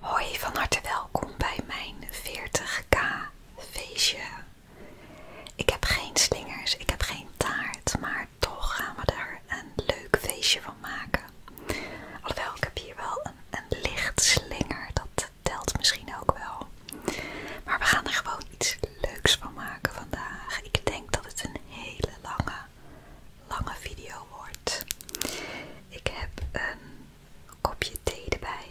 Hoi, van harte welkom bij mijn 40k feestje. Ik heb geen slingers, ik heb geen taart, maar toch gaan we er een leuk feestje van maken. Alhoewel, ik heb hier wel een licht slinger, dat telt misschien ook wel. Maar we gaan er gewoon iets leuks van maken vandaag. Ik denk dat het een hele lange, lange video wordt. Ik heb een kopje thee erbij.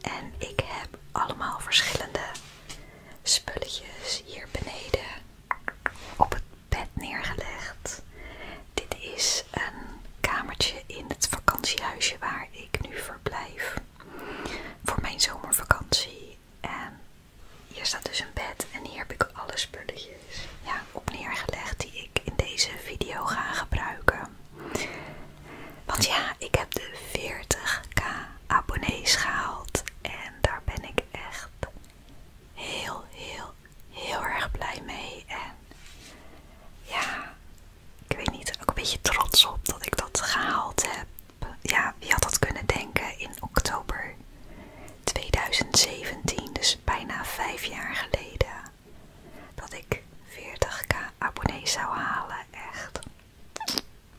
En ik heb allemaal verschillende spulletjes hier beneden op het bed neergelegd. Dit is een kamertje in het vakantiehuisje waar ik nu verblijf voor mijn zomervakantie. En hier staat dus een bed en hier heb ik alle spulletjes ja, op neergelegd die ik in deze video ga gebruiken. Want ja, ik heb de 40k abonnees gehaald en daar ben ik echt heel, heel, heel erg blij mee. En ja, ik weet niet, ook een beetje trots op dat ik dat gehaald heb. Ja, wie had dat kunnen denken in oktober 2017, dus bijna vijf jaar geleden dat ik 40k abonnees zou halen. Echt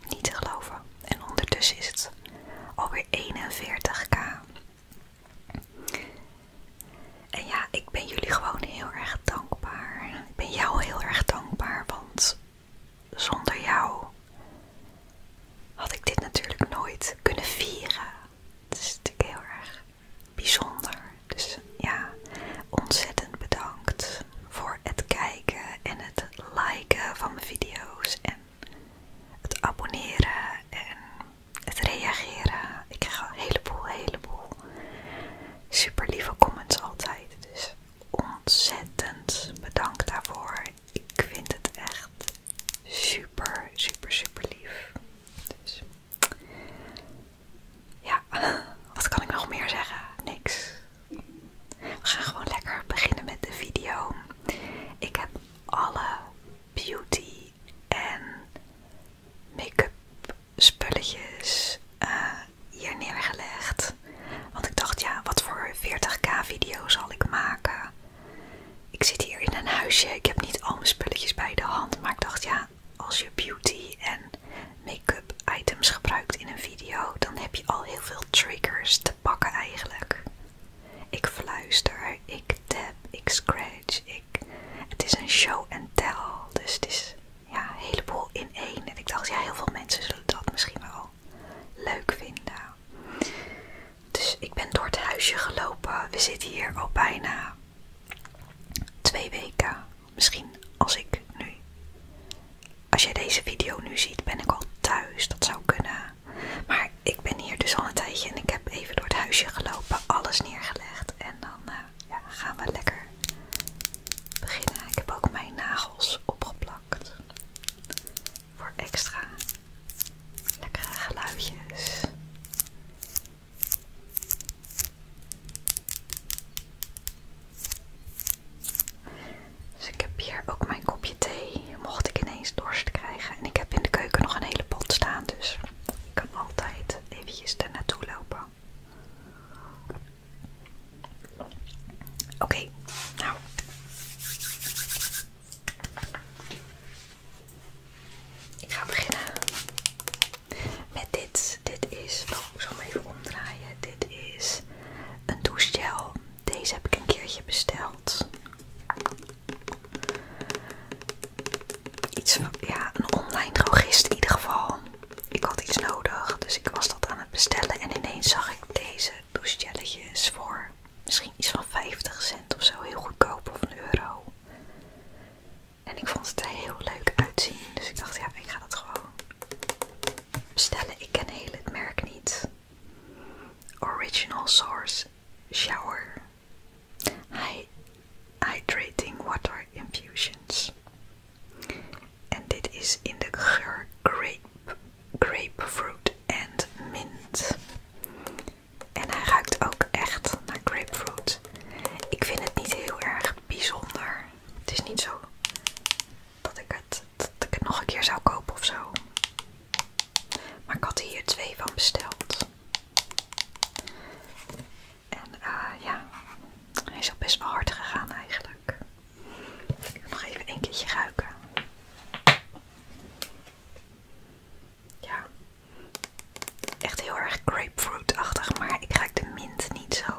niet te geloven. En ondertussen is het alweer 41k. En ja, ik ben jullie gewoon heel erg dankbaar. Ik ben jou heel erg dankbaar, want zonder jou had ik dit natuurlijk nooit kunnen vieren. Dat is natuurlijk heel erg bijzonder. Dus ja, ontzettend bedankt voor het kijken en het liken van mijn video's en het abonneren en het reageren. Ik krijg een heleboel, heleboel super lieve comments altijd. Dus ontzettend bedankt daarvoor. Ik vind het echt super, super, super lief. Dus. Ja, wat kan ik nog meer zeggen? Niks. We gaan gewoon lekker beginnen met de video. Ik heb alle beauty en make-up spulletjes eh, hier neergelegd. Want ik dacht, ja, wat voor 40k video zal ik maken? Ik zit hier in een huisje. Ik heb niet al mijn spulletjes bij de hand. Maar ik dacht, ja, als je beauty en make-up items gebruikt in een video, dan heb je al heel veel triggers te pakken eigenlijk. Ik fluister, ik tap, ik scratch, ik... Het is een show and tell, dus het is ja, een heleboel in één. En ik dacht, ja, heel veel mensen zullen dat misschien wel leuk vinden. Dus ik ben door het huisje gelopen. We zitten hier al bijna Twee weken, misschien als ik nu. Als jij deze video nu ziet, ben ik al thuis. Dat zou kunnen. Maar ik ben hier dus al een tijdje en ik heb even door het huisje gelopen, alles neergelegd. En dan eh, gaan we lekker beginnen. Ik heb ook mijn nagels opgeplakt. Voor extra lekkere geluidjes. Dus ik heb hier ook mijn kopje thee, mocht ik ineens dorst krijgen. En ik heb in de keuken nog een hele pot staan, dus ik kan altijd eventjes daar naartoe lopen. Oké, nou. Ik ga beginnen. Met dit, dit is, oh ik zal hem even omdraaien, dit is een douchegel. Deze heb ik een keertje besteld. Iets van, ja, een online drogist in ieder geval. Ik had iets nodig, dus ik was dat aan het bestellen en ineens zag ik deze douchegelletjes voor misschien iets van 50 cent of zo, heel goedkoop of een euro. En ik vond het er heel leuk uitzien. Dus ik dacht, ja, ik ga dat gewoon bestellen. Ik ken heel het merk niet. Original Source Shower Hydrating Water Infusions. En dit is in de geur grape, grapefruit and mint. En hij ruikt ook echt naar grapefruit ik vind het niet heel erg bijzonder. Het is niet zo dat ik het, nog een keer zou kopen of zo. Maar ik had hier twee van besteld. En eh, ja, hij is al best wel hard gegaan eigenlijk. Ik wil nog even een keertje ruiken. Ja, Echt heel erg grapefruitachtig, maar ik ruik de mint niet zo.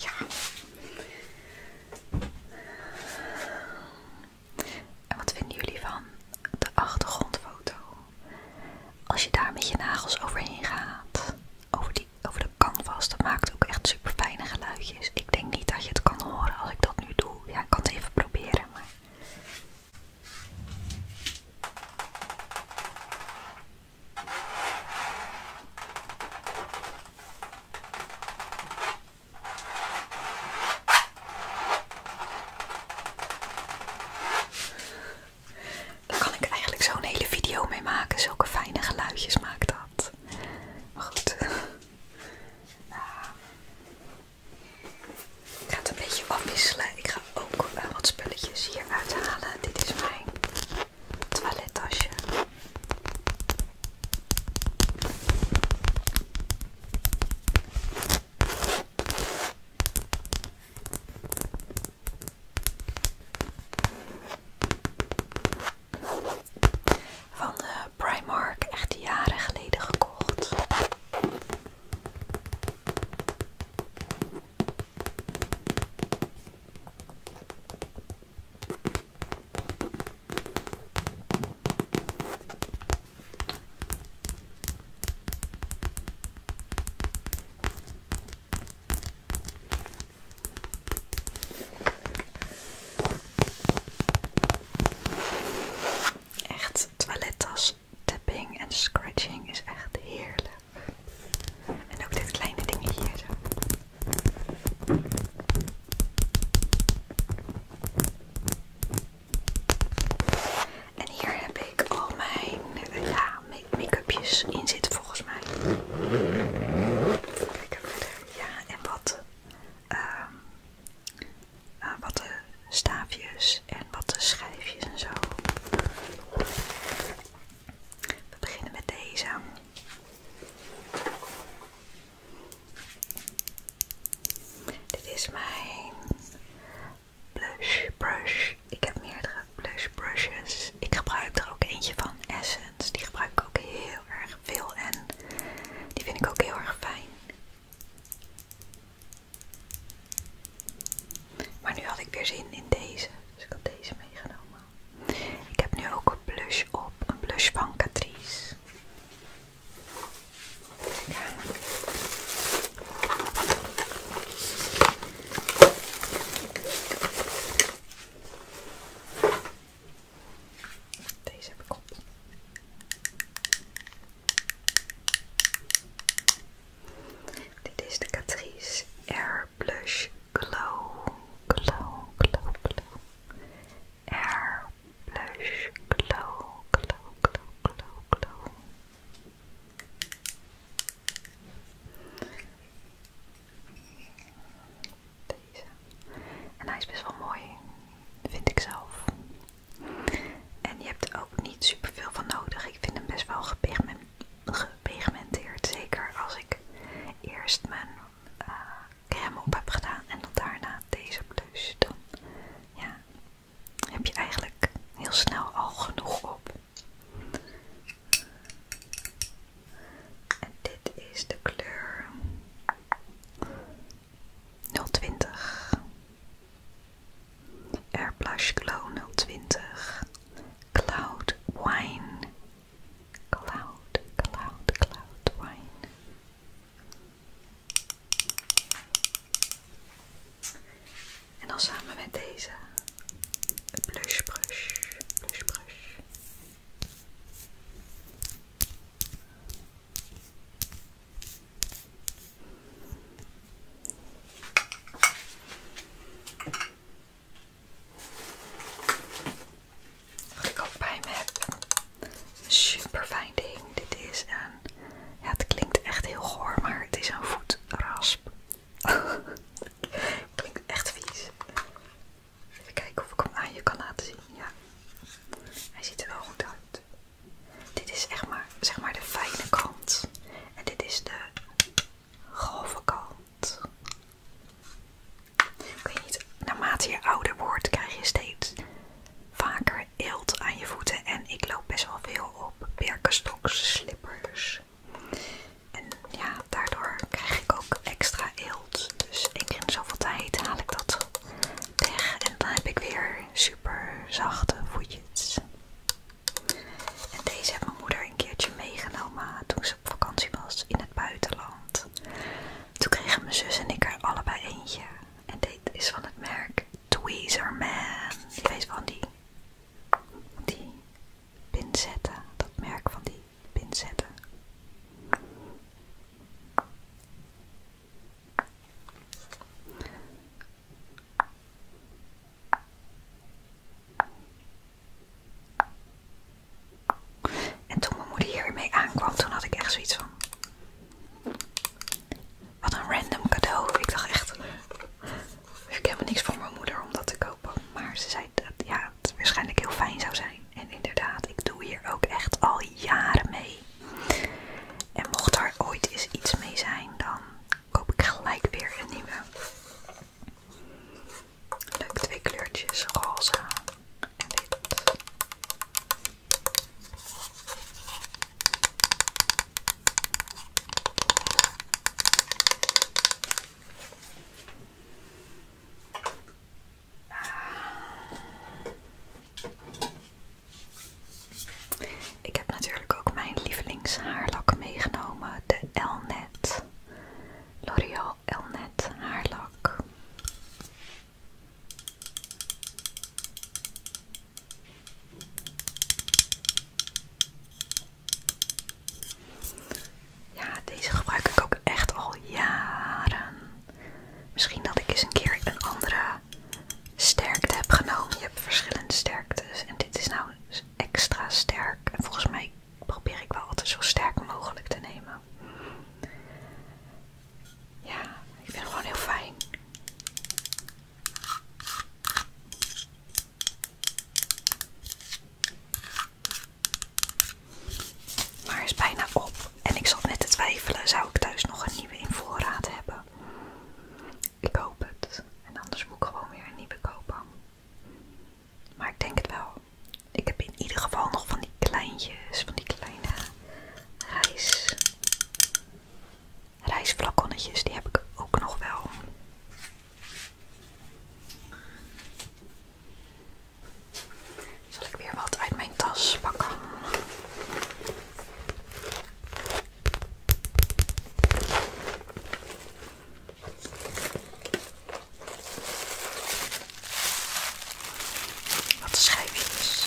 Ja. En wat vinden jullie van de achtergrondfoto? Als je daar met je nagels overheen gaat, over, die, over de canvas, dat maakt ook echt super fijne geluidjes. Ik denk niet dat je het kan horen als ik dat nu doe. Ja, ik kan het even proberen, maar. Daar kan ik eigenlijk zo'n hele video mee maken. Zulke fijne geluidjes maakt dat. Maar goed. ik ga het een beetje wisselen. Ik ook eh, wat spulletjes hier uithalen. Dit is mijn toilettasje. Van de eh, Primark, echt jaren geleden gekocht. Echt toilettas, tapping en scratching is echt heerlijk. En ook dit kleine dingetje En hier heb ik al mijn ja, make-upjes in zitten volgens mij. Ja, en wat, ehm, eh, wat de staafjes en wat de schijfjes en zo. We beginnen met deze. Dit is mijn blush brush. Ik heb meerdere blush brushes. Ik gebruik er ook eentje van Essence. Die gebruik ik ook heel erg veel en die vind ik ook heel erg fijn. Maar nu had ik weer zin in deze. Dus ik had deze meegenomen. Ik heb nu ook een blush op. Een blush van Catrice. Deze heb ik op. Dit is de Catrice Air Blush Glow, Glow, Glow, Glow. Air Blush Glow, Glow, Glow, Glow, Glow. Deze. En hij is best wel mooi, vind ik zelf. En je hebt er ook niet super veel van nodig. Ik vind hem best wel met gepigmenteerd. Zeker als ik eerst mijn eh, crème op heb gedaan en dan daarna deze blush. Dan ja, heb je eigenlijk heel snel al genoeg op. En dit is de kleur 020. airbrush Glow 020. Cloud Wine. Cloud, cloud, cloud wine. En dan samen met deze blush brush, blush brush. Wat ik ook bij me heb. Super fijn ding. Dit is een. het klinkt echt heel goor, maar het is een voetrasp. klinkt echt vies. Even kijken of ik hem aan je kan laten zien. Ja, hij ziet er wel goed uit. Dit is echt maar, zeg maar de fijne kant. En dit is de grove kant. naarmate je ouder wordt krijg je steeds vaker eelt aan je voeten. En ik loop best wel veel op Birkenstocks slippers. En ja, daardoor krijg ik ook extra eelt. Dus één keer in zoveel tijd haal ik dat weg. En dan heb ik weer super zachte voetjes. En deze heeft mijn moeder een keertje meegenomen toen ze op vakantie was in het buitenland. Toen kregen mijn zus en ik er allebei eentje. En dit is van het merk Tweezerman. Je weet van die, die pinzetten. Dat merk van die pinzetten. En toen mijn moeder hier aankwam, toen had ik echt zoiets van... Wat een random cadeau. Ik dacht echt... Ik heb helemaal niks voor mijn moeder om dat te kopen. Maar ze zei dat ja, het waarschijnlijk heel fijn zou zijn. En inderdaad, ik doe hier ook echt al jaren mee. En mocht er ooit eens iets mee zijn, dan koop ik gelijk weer een nieuwe. Leuk twee kleurtjes, roze en Ik heb natuurlijk ook mijn lievelingshaarlak meegenomen, de Elnet L'Oreal Elnet haarlak. Ja, deze gebruik ik ook echt al jaren. Misschien dat ik eens een keer een andere sterkte heb genomen. Je hebt verschillende sterktes en dit is nou dus extra sterk. En volgens mij probeer ik wel altijd zo sterk mogelijk te nemen. Ja, ik vind het gewoon heel fijn. Maar hij is bijna op. En ik zat net te twijfelen, zou ik thuis nog een nieuwe in voorraad hebben? Ik hoop het. En anders moet ik gewoon weer een nieuwe kopen. Maar ik denk het wel. Ik heb in ieder geval nog van die kleintjes, van die kleine rijs, rijsflaconnetjes, die heb ik ook nog wel. Zal ik weer wat uit mijn tas pakken? Wat schijfjes.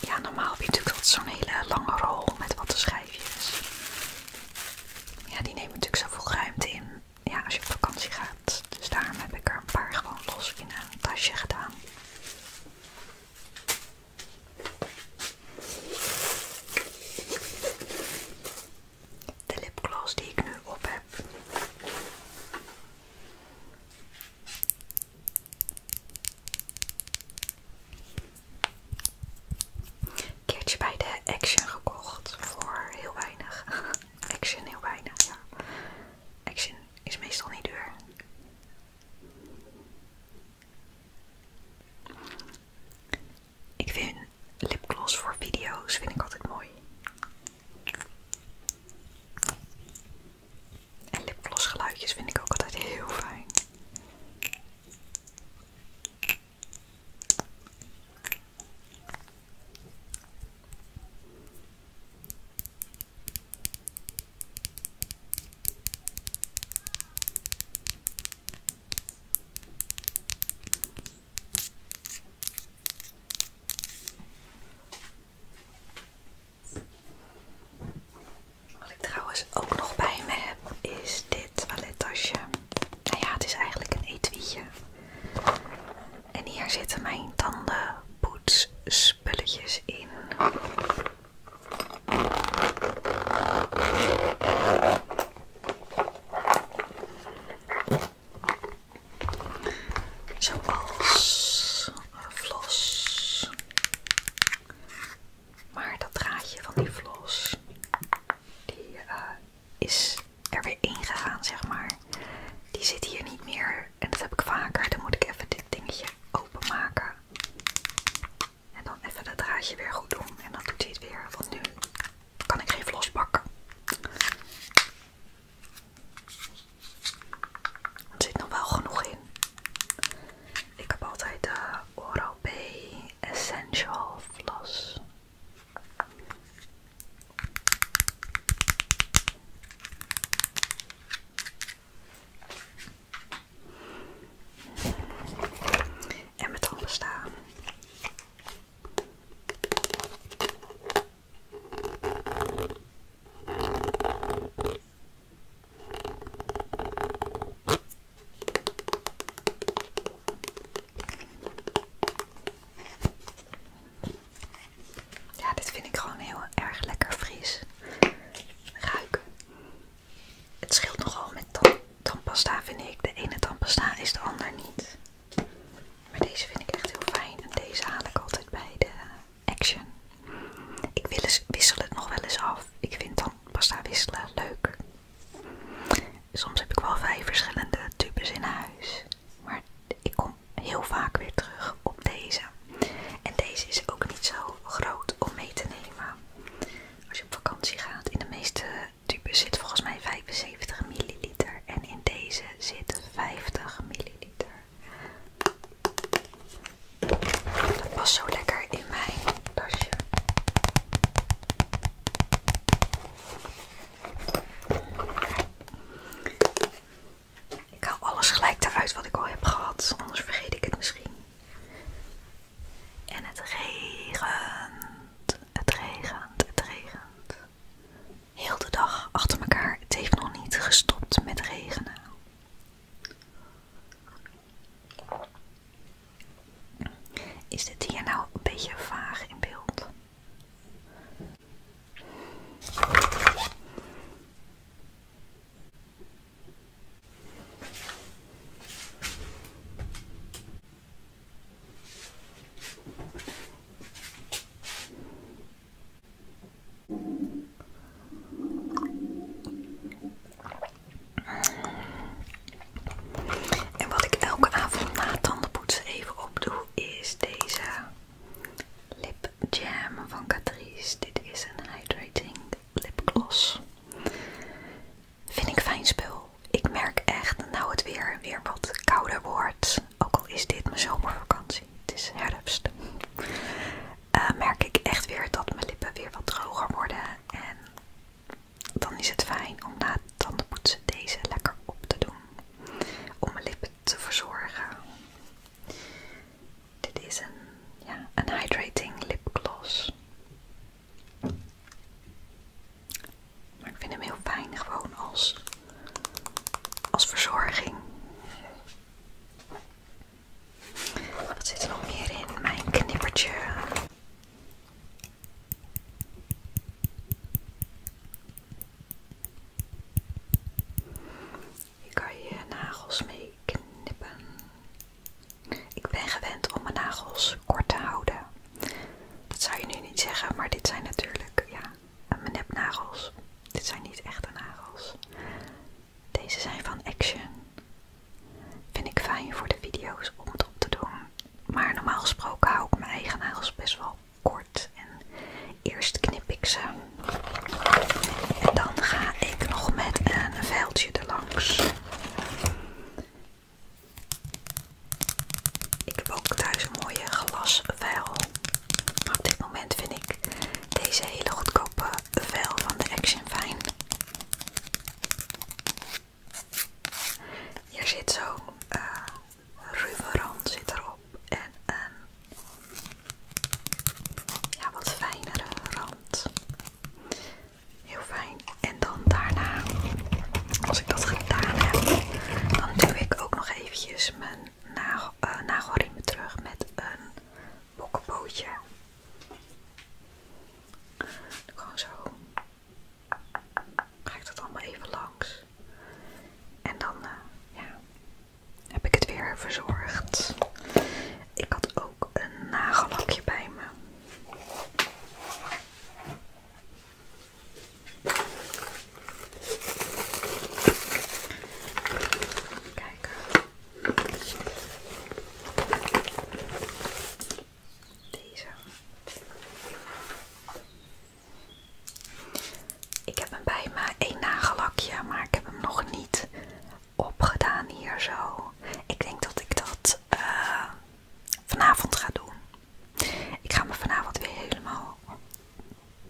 Ja, normaal heb je natuurlijk altijd zo'n hele lange rol met wat schijfjes. Ja, die nemen natuurlijk zoveel ruimte in. Ja, als je op vakantie gaat. Dus daarom heb ik er een paar gewoon los in een tasje gedaan. De lipgloss die ik nu op heb. Een keertje bij de Action gekocht voor heel weinig. Action heel weinig, ja. Action is meestal niet duur. Ik vind lipgloss voor video's vind ik altijd mooi. En lipgloss geluidjes vind ik ook altijd heel fijn. Wat ik trouwens ook nog bij me heb is dit toilettasje. Nou ja, het is eigenlijk een etuietje. En hier zitten mijn tandenpoetsspulletjes in. Zoals een vlos. Maar dat draadje van die vlos, die eh, is er weer gegaan, zeg maar. Die zit hier niet meer en dat heb ik vaker. Dan moet ik even dit dingetje openmaken. En dan even dat draadje weer goed doen. En dan doet hij het weer. Want nu kan ik geen vlos pakken. Er zit nog wel genoeg in. Ik heb altijd de Oral-B Essential Floss. En met tanden staan. Ja, dit vind ik gewoon heel erg lekker fris ruiken. Het scheelt nogal met tanden pasta vind ik. De ene pasta is de ander niet. Maar deze vind ik echt heel fijn. En deze haal ik altijd bij de Action. Ik wil eens, wissel het nog wel eens af. Ik vind pasta wisselen leuk. Soms heb ik wel vijf verschillende tubes in huis. Maar ik kom heel vaak weer terug op deze. En deze is ook niet zo groot om mee te nemen. Als je op vakantie gaat, in de meeste tube zit volgens mij 75 milliliter en in deze zit 50 milliliter. Dat past zo lekker in mijn tasje. Ik haal alles gelijk eruit wat ik al heb gehad, anders vergeet ik het misschien. En het regent. Het regent, het regent. Heel de dag achter elkaar. Het heeft nog niet gestopt met regenen. Is dit hier nou een beetje vaag in beeld? En wat ik elke avond na tandenpoetsen even opdoe is deze lip jam van Catrice. Dit is een hydrating lipgloss. Vind ik fijn spul. Ik merk echt, dat nou het weer weer wat kouder wordt, ook al is dit mijn zomervakantie, het is herfst, eh, merk ik echt weer dat mijn lippen weer wat droger worden. En dan is het fijn om na de tandenpoetsen deze lekker op te doen. Om mijn lippen te verzorgen. Dit is een, ja, een hydrating lipgloss. Maar ik vind hem heel fijn gewoon als, als verzorging. Wat zit er nog meer in? Mijn knippertje. Hier kan je nagels mee knippen. Ik ben gewend om mijn nagels kort te houden. Dat zou je nu niet zeggen, maar dit zijn natuurlijk, ja, mijn nepnagels. Dit zijn niet echte nagels. Deze zijn van Action. Vind ik fijn voor de video's om het op te doen. Maar normaal gesproken hou ik mijn eigen nagels best wel kort. En eerst knip ik ze. En dan ga ik nog met een vuiltje erlangs. Ik heb ook thuis een mooie glasvijl. Maar op dit moment vind ik deze hele goedkope vel van de Action fijn. Hier zit zo'n eh, ruwe rand zit erop en een ja, wat fijnere rand. Heel fijn. En dan daarna, als ik dat gedaan heb, dan doe ik ook nog eventjes mijn nagel, eh, nagelriemen terug met een bokkenpootje. Gewoon zo. Ga ik dat allemaal even langs. En dan eh, heb ik het weer verzorgd. Ik had ook een nagellakje bij me. Kijk. Deze. Ik heb hem bij mij één nagellakje, maar ik heb hem nog niet opgedaan hier zo. Ik denk dat ik dat eh, vanavond ga doen. Ik ga me vanavond weer helemaal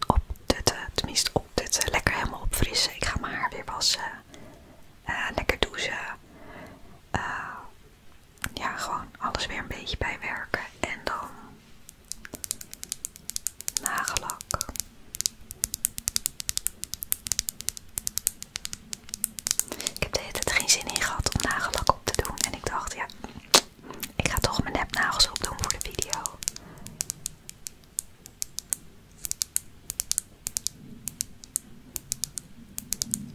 opdutten. Eh, tenminste opdutten. Eh, lekker helemaal opfrissen. Ik ga mijn haar weer wassen. Eh, lekker douchen. ja, gewoon alles weer een beetje bijwerken. En dan nagellak. Ik heb de hele tijd geen zin in gehad om nagellak op te doen. En ik dacht, ja, ik ga toch mijn nepnagels opdoen voor de video.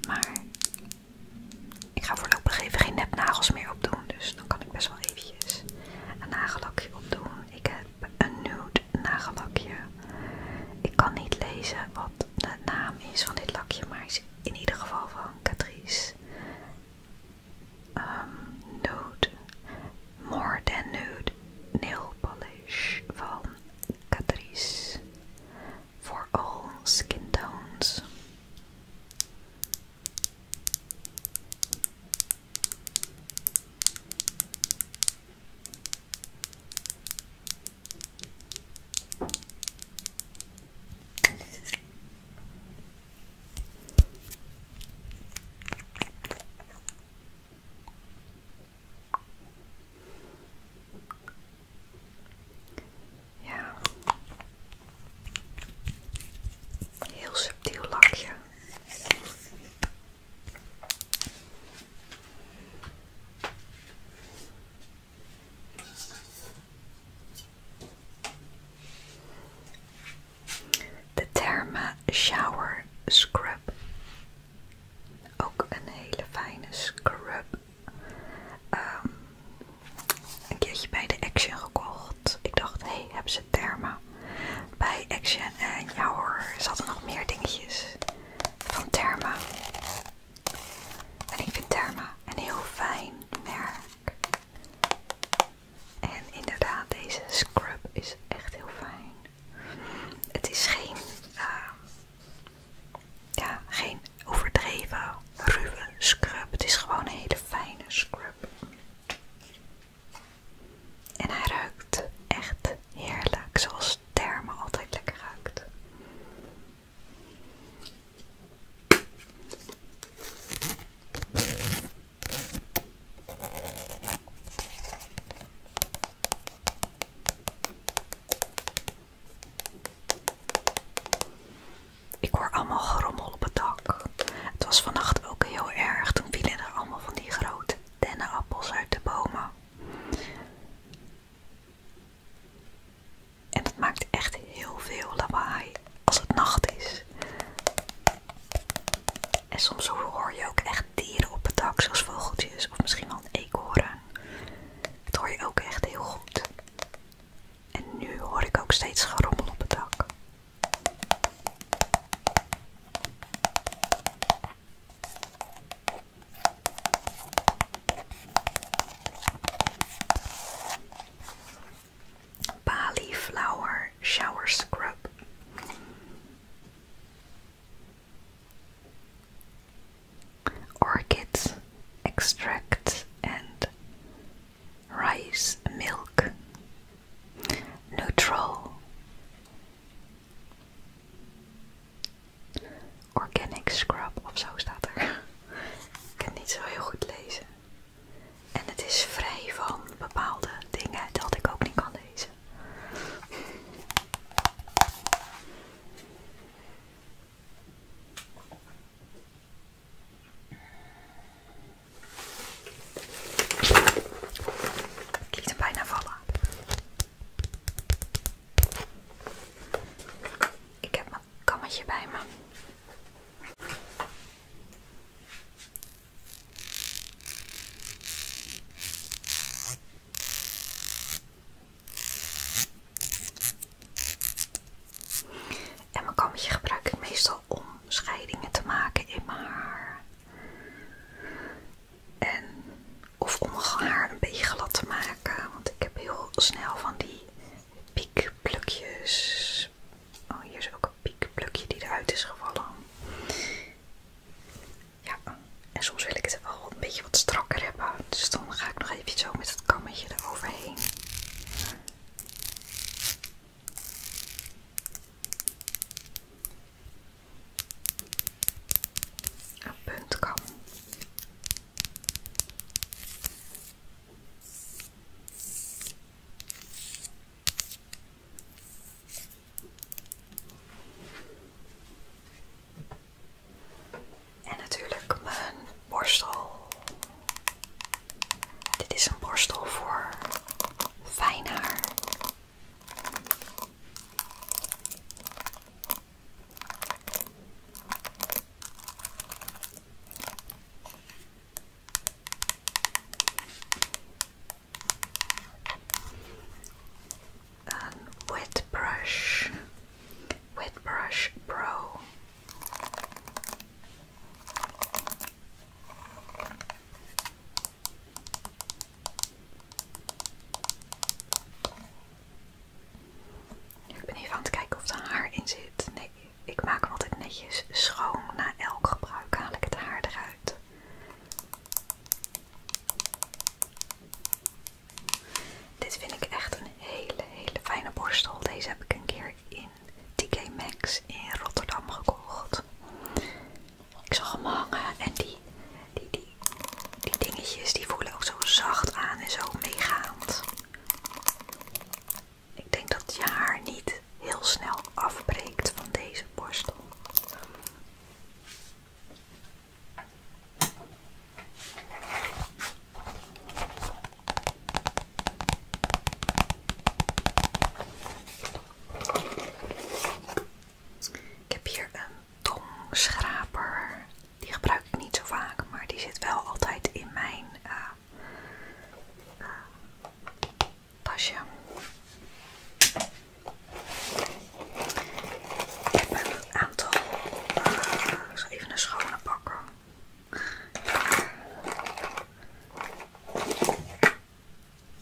Maar ik ga voorlopig even geen nepnagels meer opdoen. Dus dan kan ik best wel eventjes een nagellakje opdoen. Ik heb een nude nagellakje. Ik kan niet lezen wat de naam is van dit lakje. Maar is in ieder geval van Catrice. Um, nude, more than nude nail polish van Catrice for all skin tones. Ja. Heel subtiel lakje. De Therma Shower Scrub. Ook een hele fijne scrub. Ehm, een keertje bij de Action gekocht. Ik dacht, hé, hey, hebben ze Therma bij Action? En ja ze nog meer dingetjes van Therma. En ik vind Therma een heel fijn merk. En inderdaad, deze scrub is echt heel fijn. Het is geen, ehm, ja, geen overdreven ruwe scrub. Het is gewoon een hele fijne scrub. En hij ruikt echt heerlijk, zoals thermen altijd lekker ruikt. Ik hoor allemaal grommel op het dak. Het was vannacht ook heel erg. Toen vielen er allemaal van die grote dennenappels uit de bomen. En dat maakt echt heel veel lawaai als het nacht is. En soms hoor je ook echt dieren op het dak, zoals vogeltjes of misschien wel een eekhoorn. Dat hoor je ook echt heel goed. En nu hoor ik ook steeds gerommel op het dak. Bali Flower Shower Scrub. Orchids extract and rice milk. Neutral. Organic scrub of zo staat er. Ik kan niet zo heel goed lezen. En het is vrij van bepaalde dingen dat ik ook niet kan lezen. Ik liet hem bijna vallen. Ik heb kammetje bij me. En mijn kammetje gebruik ik meestal om scheidingen te maken in mijn haar. En, of om mijn haar een beetje glad te maken. Want ik heb heel snel van die piekplukjes. Oh, hier is ook een piekplukje die eruit is gevallen. Ja, en soms wil ik het wel een beetje wat strakker hebben. Dus dan ga ik nog even zo met het kammetje eroverheen. Een puntkam. En natuurlijk mijn borstel. Dit is een borstel voor fijn haar and wet brush, wet brush pro. Ik ben even aan het kijken of er haar in zit. Nee ik maak altijd netjes schoon. Na elk gebruik haal ik het haar eruit. Dit vind ik echt een hele, hele fijne borstel. Deze heb ik een keer in TK Max in Rotterdam gekocht. Ik zag hem hangen en die, die, die, die dingetjes die voelen ook zo zacht aan en zo meegaand. Ik denk dat je haar niet heel snel afbreekt van deze borstel. Ik heb hier een tongschraper. Die gebruik ik niet zo vaak, maar die zit wel altijd in mijn eh, tasje. Ik heb een aantal. Eh, ik zal even een schone pakken.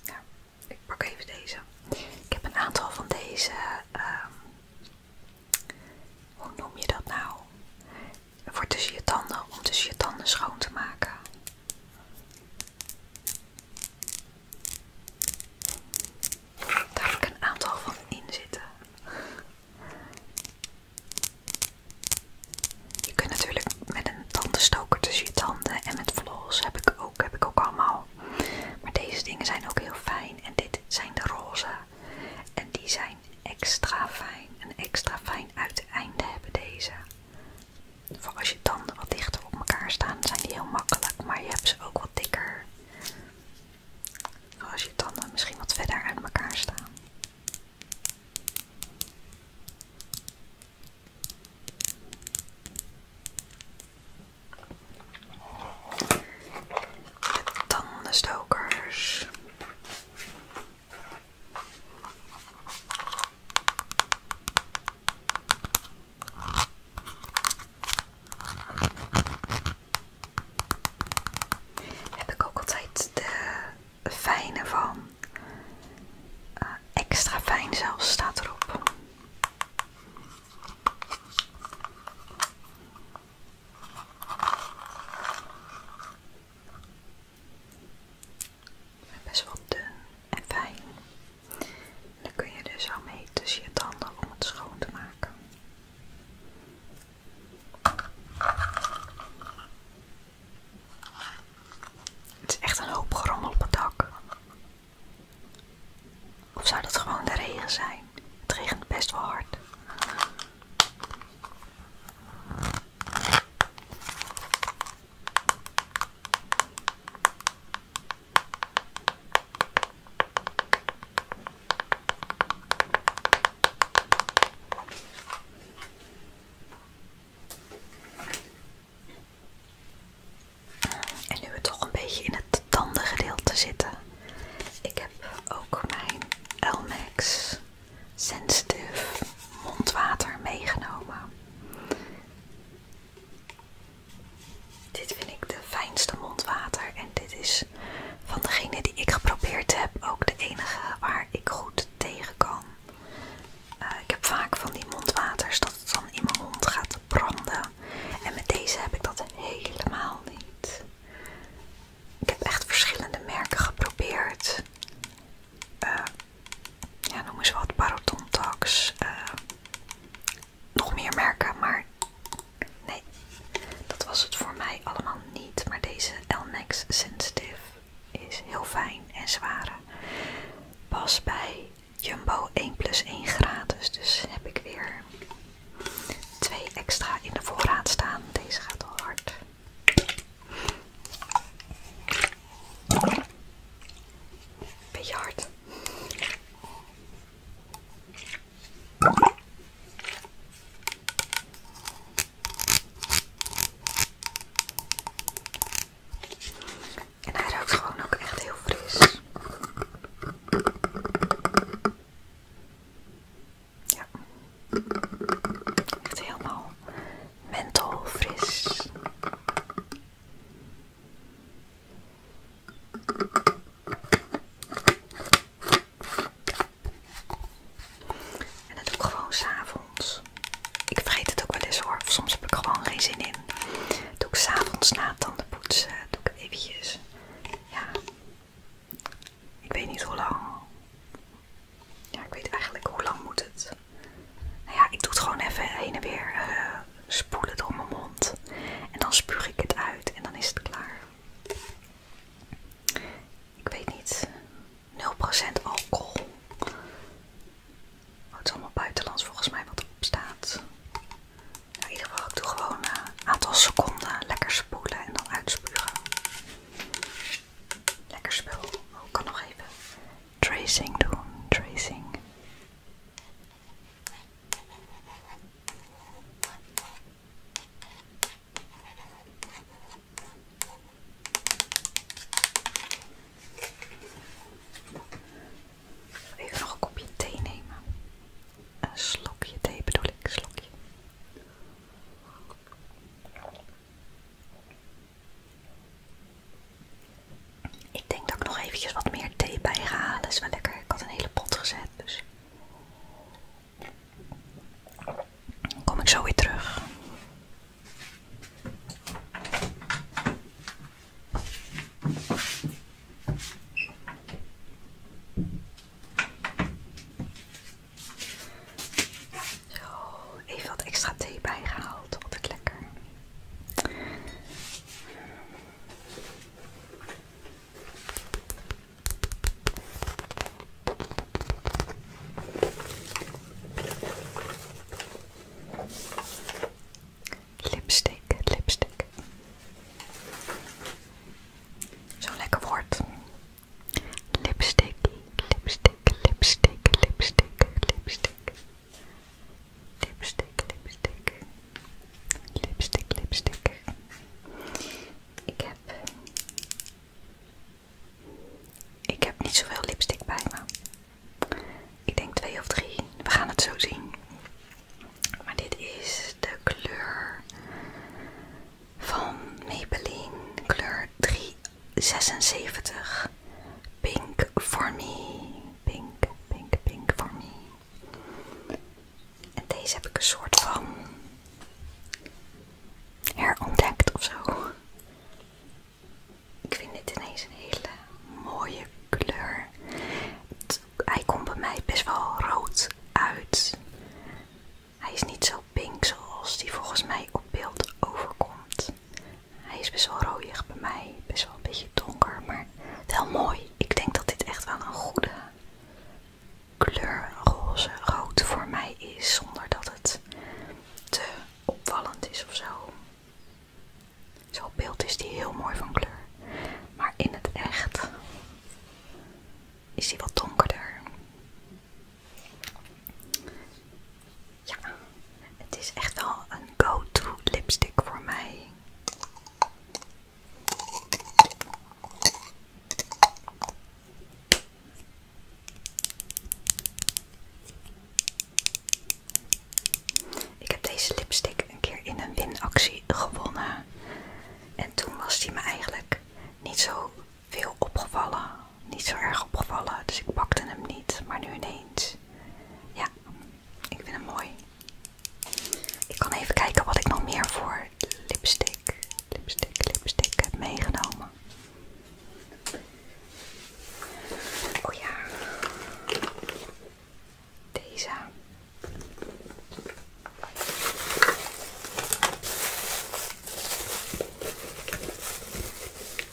Ja, ik pak even deze. Ik heb een aantal van deze. Um, hoe noem je dat nou? voor tussen je tanden, om tussen je tanden schoon te maken. Daar heb ik een aantal van in zitten. Je kunt natuurlijk met een tandenstoker tussen je tanden en met vlos heb ik ook, heb ik ook allemaal. Maar deze dingen zijn ook heel fijn en dit zijn de roze. En die zijn extra fijn. Een extra fijn uiteinde hebben deze. Voor als je tanden wat dichter op elkaar staan, zijn die heel makkelijk. Maar je hebt ze ook wat dikker. Voor als je tanden misschien wat verder uit elkaar staan. De tandenstokers. Heb ik ook altijd de fijne van. Eh, extra fijn zelf staat erop. Best wel dun en fijn. dan kun je dus al mee tussen je tanden om het schoon te maken. Het is echt een hoop gerommel op het dak. Of zou dat gewoon de regen zijn? Het regent best wel hard. En nu we toch een beetje in het tandengedeelte zitten. Ik heb ook mijn Elmex sensitive mondwater meegenomen. Dit vind ik de fijnste mondwater en dit is van degene die ik geprobeerd heb ook de enige waar ik goed tegen kan. Eh, ik heb vaak van die mondwaters dat het dan in mijn mond gaat branden en met deze heb ik dat helemaal niet. Ik heb echt verschillende merken geprobeerd eh, ja, noem eens wat, parodontax, eh, nog meer merken, maar nee, dat was het voor mij allemaal niet. Maar deze Max Sensitive is heel fijn en zware. Pas bij Jumbo 1 plus 1 gratis, dus heb ik weer twee extra in de voorraad staan. Deze gaat al hard. Beetje hard. En hij ruikt gewoon ook echt heel fris. Ja. Echt helemaal menthol fris. En dat doe ik gewoon s'avonds. Ik vergeet het ook wel eens hoor. soms heb ik gewoon geen zin in. Dat doe ik s'avonds na tanden poetsen. Doe ik eventjes. Ja. Ik weet niet hoe lang ik weet eigenlijk hoe lang moet het. Nou ja, ik doe het gewoon even heen en weer eh, spoelen door mijn mond. En dan spuug ik het uit en dan is het klaar. Ik weet niet. 0% alcohol. Oh, het is allemaal buitenlands volgens mij wat erop staat. Nou, in ieder geval, ik doe gewoon een eh, aantal seconden lekker spoelen en dan uitspugen. Lekker spul. ook oh, kan nog even tracing doen. Tracing. Even nog een kopje thee nemen. Een slokje thee bedoel ik, slokje. Ik denk dat ik nog eventjes wat meer thee bij ga halen. Is wel lekker. Ik had een hele pot gezet. Dus kom ik zo weer terug. Oh, even wat extra thee bijgehaald. Altijd lekker. Lipstick, lipstick. Zo'n lekker woord. Lipstick, lipstick lipstick, lipstick, lipstick, lipstick. Lipstick, lipstick. Lipstick, Ik heb... Ik heb niet zoveel lipstick bij me. Ik denk twee of drie. We gaan het zo zien. Maar dit is de kleur van Maybelline kleur 3 76. Pink for me. Pink, pink, pink for me. En deze heb ik een soort van herontdekt of zo. Ik vind dit ineens een hele mooie kleur. hij komt bij mij best wel rood uit. Hij is niet zo pink zoals die volgens mij op beeld overkomt. Hij is best wel roodig bij mij, best wel een beetje donker, maar wel mooi. Ik denk dat dit echt wel een goede kleur roze rood voor mij is, zonder dat het te opvallend is of zo. Zo'n beeld is die heel mooi van kleur, maar in het echt is die wat donkerder. Ja, het is echt wel een go-to lipstick voor mij. Ik heb deze lipstick een keer in een winactie gewonnen. En toen was die me eigenlijk niet zo veel opgevallen niet zo erg opgevallen, dus ik pakte hem niet. Maar nu ineens. Ja, ik vind hem mooi. Ik kan even kijken wat ik nog meer voor lipstick, lipstick, lipstick heb meegenomen. Oh ja. Deze.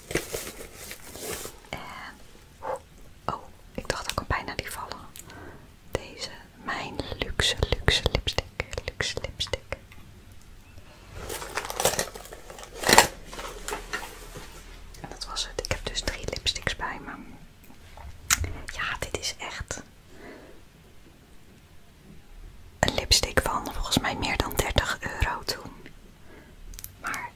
En, eh, oh, ik dacht dat ik kan bijna die vallen. Deze, mijn luxe, luxe lipstick, luxe lipstick. En dat was het. Ik heb dus drie lipsticks bij me. Ja, dit is echt een lipstick van volgens mij meer dan 30 euro toen. Maar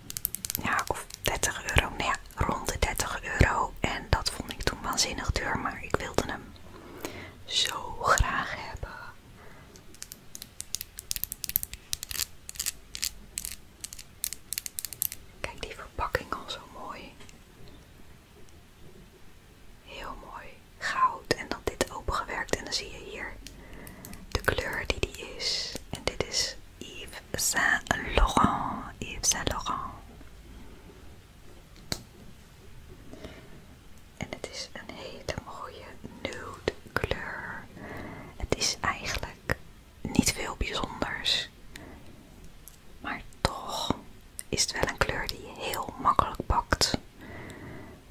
ja, of 30 euro, nee, rond de 30 euro. En dat vond ik toen waanzinnig duur, maar ik wilde hem zo graag hebben. Kijk die verpakking al zo mooi. Heel mooi goud en dan dit opengewerkt en dan zie je hier de kleur die die is. En dit is Yves Saint Laurent. Yves Saint Laurent. En het is een hele mooie nude kleur. Het is eigenlijk niet veel bijzonders. Maar toch is het wel een kleur die je heel makkelijk pakt.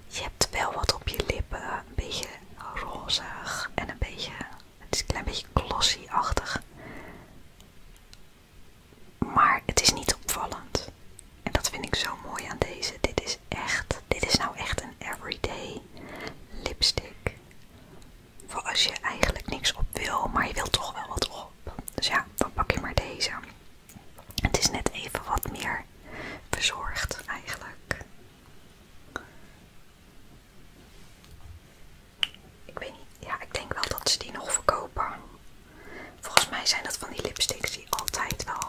Je terwijl wat op je lippen. Een beetje rozig en een beetje, het is een klein beetje glossy-achtig. Maar het is niet opvallend. En dat vind ik zo mooi aan deze. Dit is echt, dit is nou echt een everyday lipstick. Voor als je eigenlijk niks op wil, maar je wilt toch wel wat op. Dus ja, dan pak je maar deze. Het is net even wat meer verzorgd eigenlijk. Ik weet niet. Ja, ik denk wel dat ze die nog verkopen. Volgens mij zijn dat van die lipsticks die altijd wel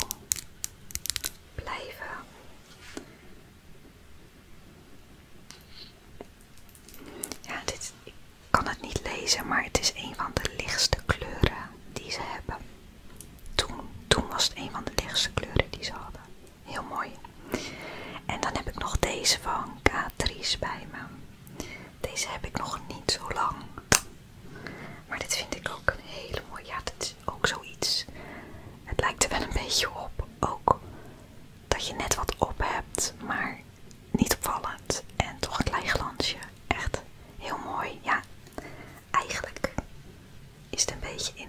blijven. Ja, dit, ik kan het niet lezen, maar het is een van de lichtste kleuren die ze hebben. toen was het een van de lichtste kleuren die ze hadden. Heel mooi. En dan heb ik nog deze van Catrice bij me. Deze heb ik nog niet zo lang. Maar dit vind ik ook een hele mooie. Ja, dit is ook zoiets. Het lijkt er wel een beetje op. Ook dat je net wat op hebt, maar niet opvallend. En toch een klein glansje. Echt heel mooi. Ja, eigenlijk is het een beetje in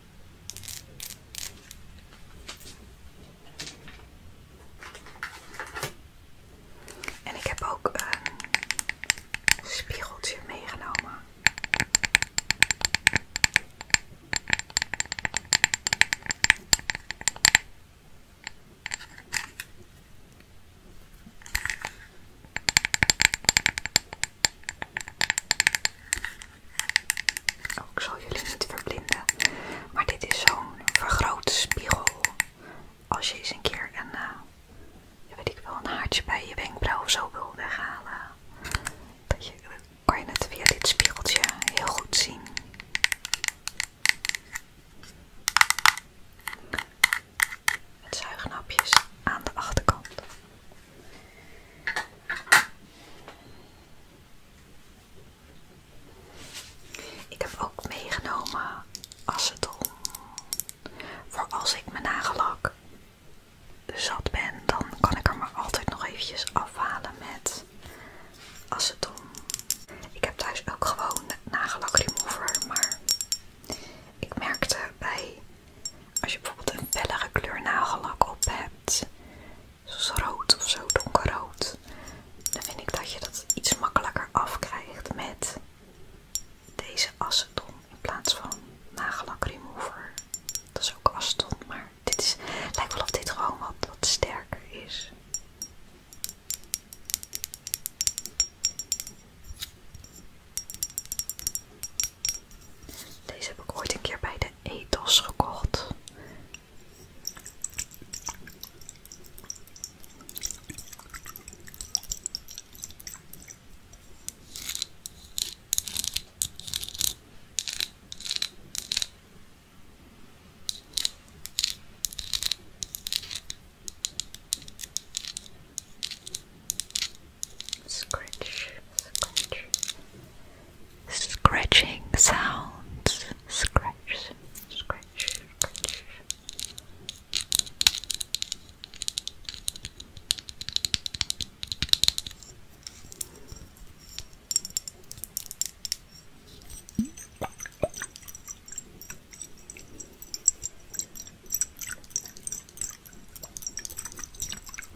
En ik heb ook een spiegeltje meegenomen. Oh, ik zal jullie niet verblinden, maar dit is zo'n vergrote spiegel. Als je eens een keer een, eh, weet ik wel, een haartje bij je wenkbrauw of zo wil weghalen, dat dan kan je het via dit spiegeltje heel goed zien. Met zuignapjes aan de achterkant. Ik heb ook meegenomen aceton. Voor als ik mijn nagellak zat ben, dan kan ik er maar altijd nog eventjes afhalen met aceton. Ik heb thuis ook gewoon nagellak remover, maar ik merkte bij als je bijvoorbeeld een bellige kleur nagellak op hebt, zoals rood of zo, donkerrood, dan vind ik dat je dat iets makkelijker afkrijgt met deze aceton in plaats van nagellak remover. Dat is ook aceton, maar dit is, lijkt wel of dit gewoon wat sterker is. Deze heb ik ooit een keer bij de Etos gekocht. Scratch, scratch. Scratching sounds. scratch, scratch.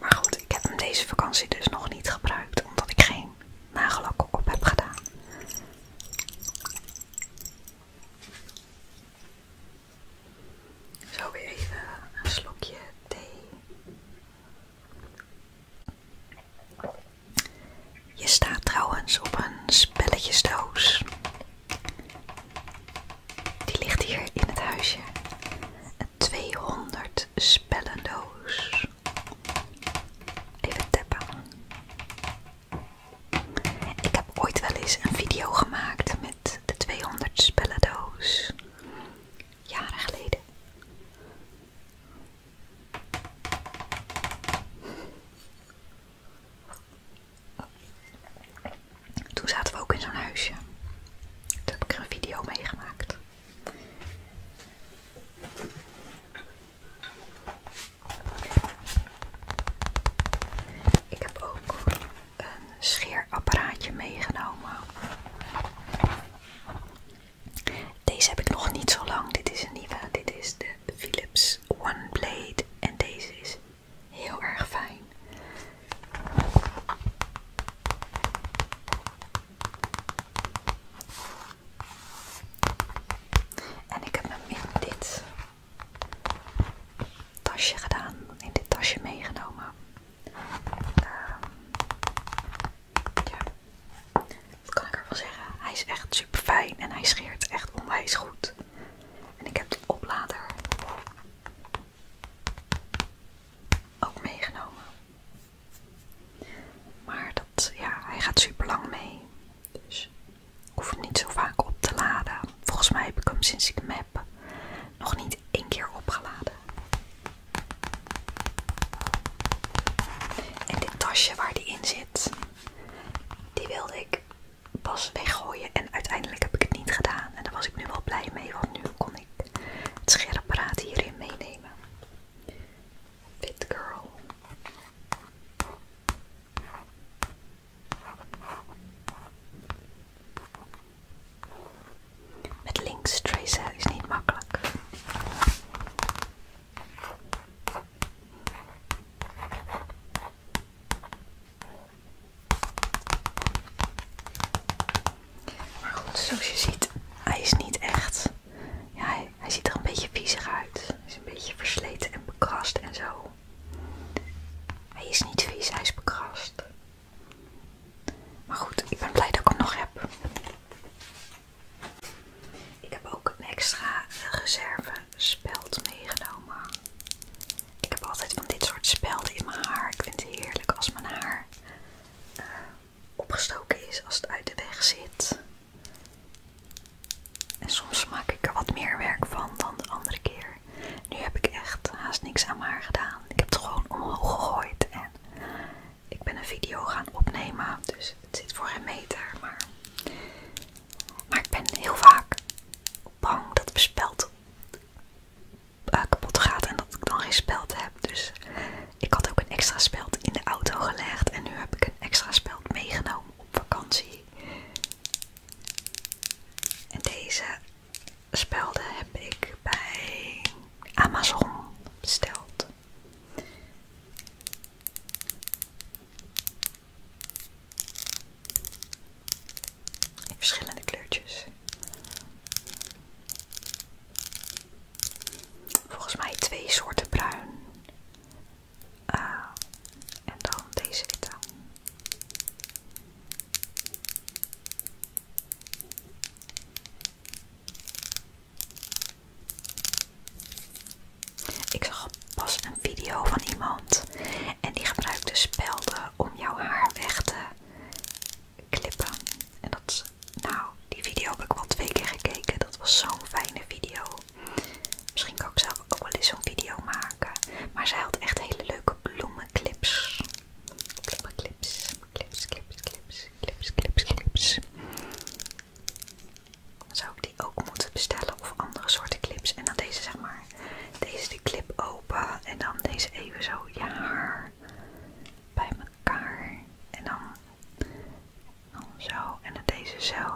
Maar goed, ik heb hem deze vakantie dus nog niet gebruikt, omdat ik geen nagellak op heb gedaan. Zo weer even een slokje thee. Je staat trouwens op een spelletjesdoos. Die ligt hier in het huisje. 200 spellendoos. Even tappen. Ik heb ooit wel eens een video gemaakt met de 200 spellendoos. Jaren geleden. Toen zaten we ook in zo'n huisje. Daar heb ik een video mee Ik heb ook een scheerapparaatje meegenomen. Deze heb ik nog niet zo lang. Dit is een nieuwe. Dit is de Philips One Blade. En deze is heel erg fijn. En ik heb hem in dit tasje gedaan, in dit tasje meegenomen. Ehm, ja, kan ik ervan zeggen? Hij is echt super fijn en hij scheert echt onwijs goed. En ik heb de oplader ook meegenomen. Maar dat, ja, hij gaat super lang mee. Dus ik hoef het niet zo vaak op te laden. Volgens mij heb ik hem sinds ik hem heb nog niet één keer opgeladen. En dit tasje waar die in zit, die wilde ik pas weggooien. En uiteindelijk heb ik het niet gedaan. En daar was ik nu wel blij mee, want nu kon kan hierin meenemen. Fit girl. Met links tracer is niet makkelijk. Maar goed, zoals je ziet, hij is niet echt. Ja, hij, ziet er een beetje viezig uit. Hij is een beetje versleten en bekrast en zo. Hij is niet vies, hij is bekrast. Maar goed, ik ben blij dat ik hem nog heb. Ik heb ook een extra reserve speld meegenomen. Ik heb altijd van dit soort spelden in mijn haar. Ik vind het heerlijk als mijn haar eh, opgestoken is als het uit de weg zit. En soms maak ik er wat meer werk van dan de andere keer. Nu heb ik echt haast niks aan haar gedaan. Ik heb het gewoon omhoog gegooid en ik ben een video gaan opnemen. Dus het zit voor een meter. Maar, ik ben heel vaak bang dat het bespeld. Eh, kapot gaat en dat ik dan geen speld heb. Dus ik had ook een extra speld in de auto gelegd en nu heb ik een extra speld meegenomen op vakantie. En deze spelden heb ik bij Amazon besteld. In verschillende kleurtjes. Volgens mij twee soorten bruin. Ah en dan deze witte. Ik zag pas een video van iemand en die gebruikte spelden om jouw haar weg te clippen En dat nou, die video heb ik wel twee keer gekeken. Dat was zo'n fijne video. Misschien kan ik zelf ook wel eens zo'n video maken. Maar zij had echt hele leuke bloemenclips. Bloemenclips, clips, clips, clips, clips, clips, clips. Dan zou ik die ook moeten bestellen of andere soorten clips. En dan deze, zeg maar, deze de clip open en dan deze even zo ja bij elkaar en dan, dan zo en deze zo.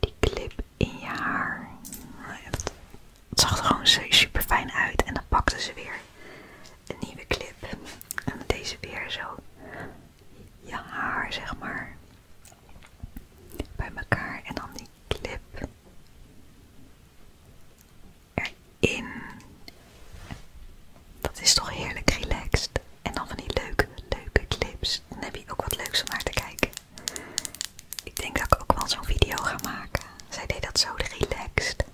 Die clip in je haar. Het, het zag er gewoon super fijn uit en dan pakte ze weer een nieuwe clip en deze weer zo. Je haar zeg maar bij elkaar en dan die clip erin. Dat is toch heerlijk relaxed. En dan van die leuke, leuke clips. Dan heb je ook wat leuks om naar te kijken. Ik denk dat ik ook wel zo'n video ga maken. Zij deed dat zo relaxed.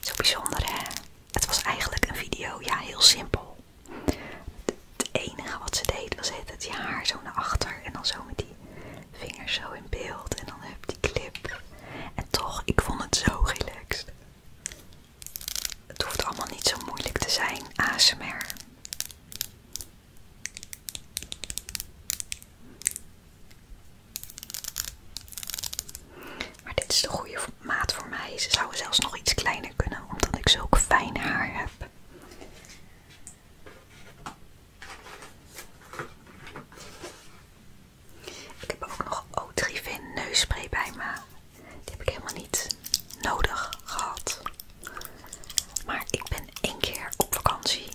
Zo bijzonder hè. Het was eigenlijk een video, ja heel simpel. Het enige wat ze deed was het, het haar zo naar achter en dan zo met die vingers zo in beeld en dan heb je die clip. En toch, ik vond het zo relaxed. Het hoeft allemaal niet zo moeilijk te zijn, ASMR. Maar dit is de goede maat voor mij. Ze zouden zelfs nog iets kleiner kunnen, omdat ik zulk fijn haar heb. Ik heb ook nog O3-Vin neusspray bij me. Die heb ik helemaal niet nodig gehad. Maar ik ben één keer op vakantie.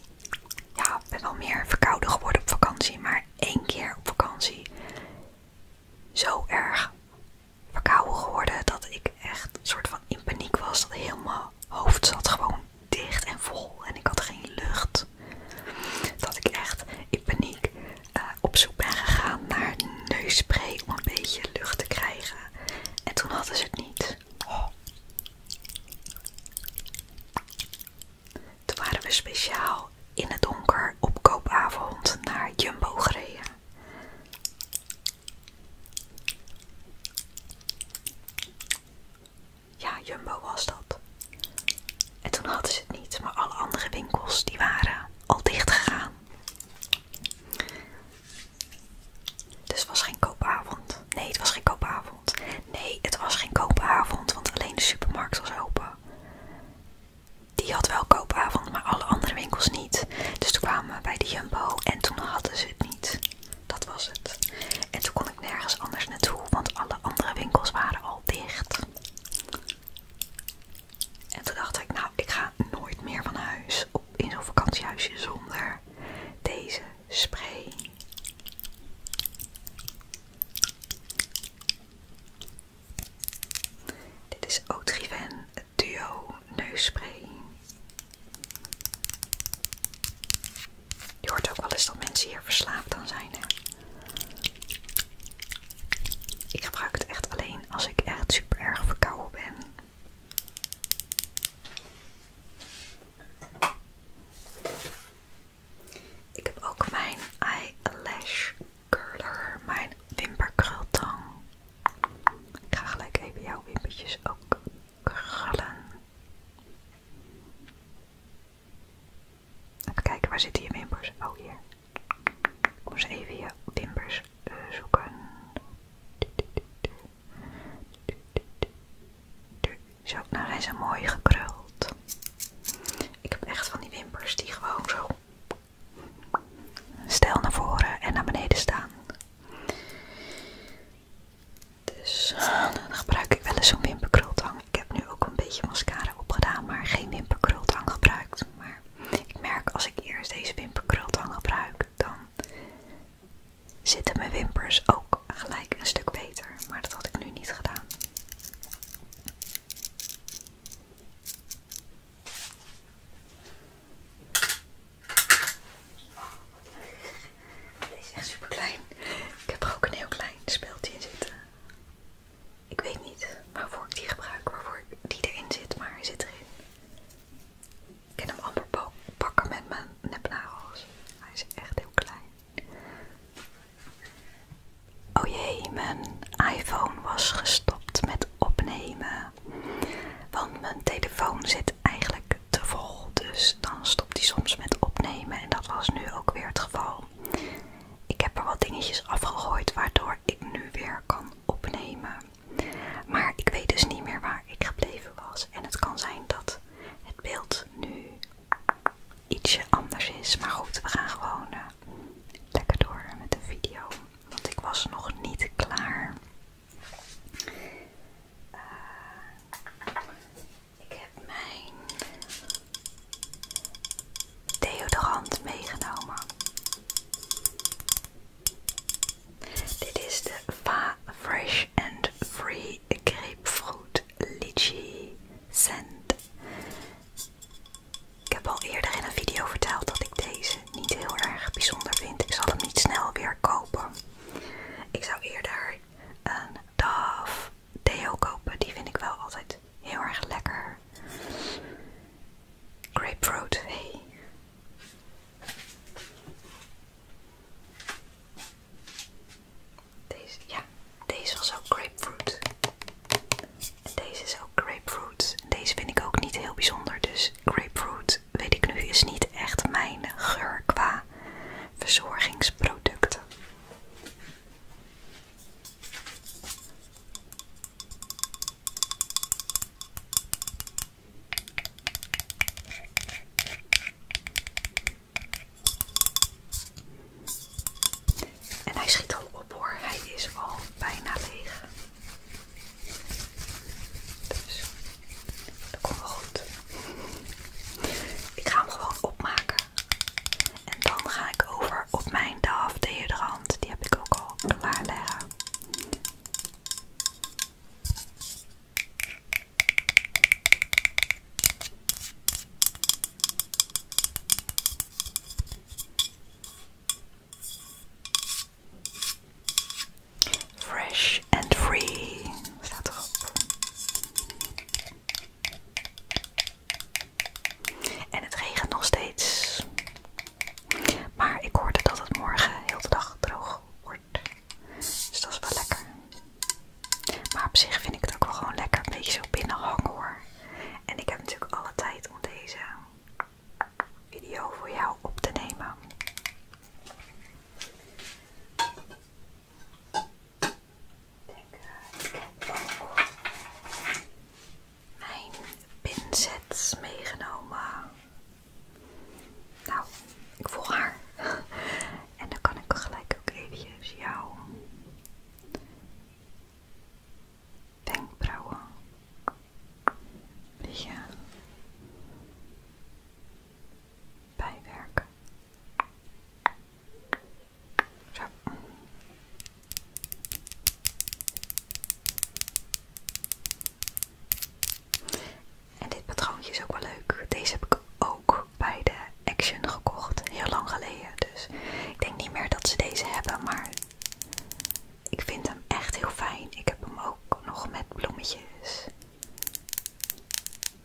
Ja, ik ben wel meer verkouden geworden op vakantie. Maar één keer op vakantie zo erg verkouden geworden dat ik echt soort van in paniek was. Dat heel mijn hoofd zat gewoon dicht en vol en ik had geen lucht. Dat ik echt in paniek eh, op zoek ben gegaan naar neusspray om een beetje lucht te krijgen. En toen hadden ze het niet. Oh. Toen waren we speciaal in het donker op koopavond naar Jumbo gereden. Ja, Jumbo was dat. En toen hadden ze het niet, maar alle andere winkels die waren al dicht gegaan. Dus het was geen koopavond. Nee, het was geen koopavond. Nee, het was geen koopavond, want alleen de supermarkt was open. Die had wel koopavond, maar alle andere winkels niet. Dus toen kwamen we bij de Jumbo en toen hadden ze het niet. Dat was het. En toen kon ik nergens anders naartoe, want alle andere winkels waren al dicht. En toen dacht ik, nou, ik ga nooit meer van huis in zo'n vakantiehuisje zonder deze spray. Dit is Otrivin Duo Neusspray. Je hoort ook wel eens dat mensen hier verslaafd aan zijn. Ik gebruik het echt alleen als ik echt super erg verkouden ben. Ik heb ook mijn eyelash curler, mijn wimperkrultang. Ik ga gelijk even jouw wimpertjes ook krullen. Even kijken, waar zitten je wimpers? Oh, hier. Ik moest even je wimpers Die eh, zoeken. Zo, nou zijn ze mooi gekruld. Ik heb echt van die wimpers die gewoon zo stel naar voren en naar beneden staan. Dus eh, dan gebruik ik wel eens zo'n wimperkrultang. Ik heb nu ook een beetje mascara opgedaan, maar geen wimperkrultang gebruikt. Maar ik merk als ik eerst deze wimperkrultang gebruik, dan zitten mijn wimpers ook gelijk een stuk beter. Maar dat had ik nu niet gedaan. Deze is echt super klein. Ik heb er ook een heel klein speeltje in zitten. Ik weet niet waarvoor ik die gebruik, waarvoor die erin zit, maar hij zit erin. Ik kan hem amper pakken met mijn nepnagels. Hij is echt heel klein. Oh jee, mijn iPhone was gestopt met opnemen. Want mijn telefoon zit eigenlijk dus dan stopt hij soms met opnemen. En dat was nu ook weer het geval. Ik heb er wat dingetjes afgegooid waardoor ik nu weer kan opnemen. Maar ik weet dus niet meer waar ik gebleven was. En het kan zijn dat het beeld nu ietsje anders is. Maar goed, we gaan gewoon eh, lekker door met de video. Want ik was nog niet klaar. Eh, ik heb mijn deodorant meegenomen. Dit is de Va Fresh and Free Grapefruit Litchi Scent. Ik heb al eerder in een video verteld dat ik deze niet heel erg bijzonder vind. Ik zal hem niet snel weer kopen. Ik zou eerder een Dove deo kopen. Die vind ik wel altijd heel erg lekker. Grapefruit, hey. Deze, ja, deze was ook grapefruit. deze is ook grapefruit. Deze vind ik ook niet heel bijzonder. Dus grapefruit, weet ik nu, is niet echt mijn geur qua verzorgingsproducten. En hij schiet al op hoor, hij is al bijna leeg. Dus. Dat komt wel goed. Ik ga hem gewoon opmaken. En dan ga ik over op mijn DAF deodorant. Die heb ik ook al klaar liggen. Fresh en free. Staat erop. En het regent nog steeds. Maar ik hoorde dat het morgen heel de dag droog wordt. Dus dat is wel lekker. Maar op zich vind ik het ook wel gewoon lekker een beetje zo binnen hangen hoor. En ik heb natuurlijk alle tijd om deze video voor jou op te nemen. Ik heb ook mijn pinsets meegenomen. Nou, ik voel haar. En dan kan ik gelijk ook eventjes jouw wenkbrauwen bijwerken. Zo. En dit patroontje is ook wel leuk. Deze heb ik ook bij de Action gekocht. Heel lang geleden. Dus ik denk niet meer dat ze deze hebben. Maar ik vind hem echt heel fijn. Ik heb hem ook nog met bloemetjes.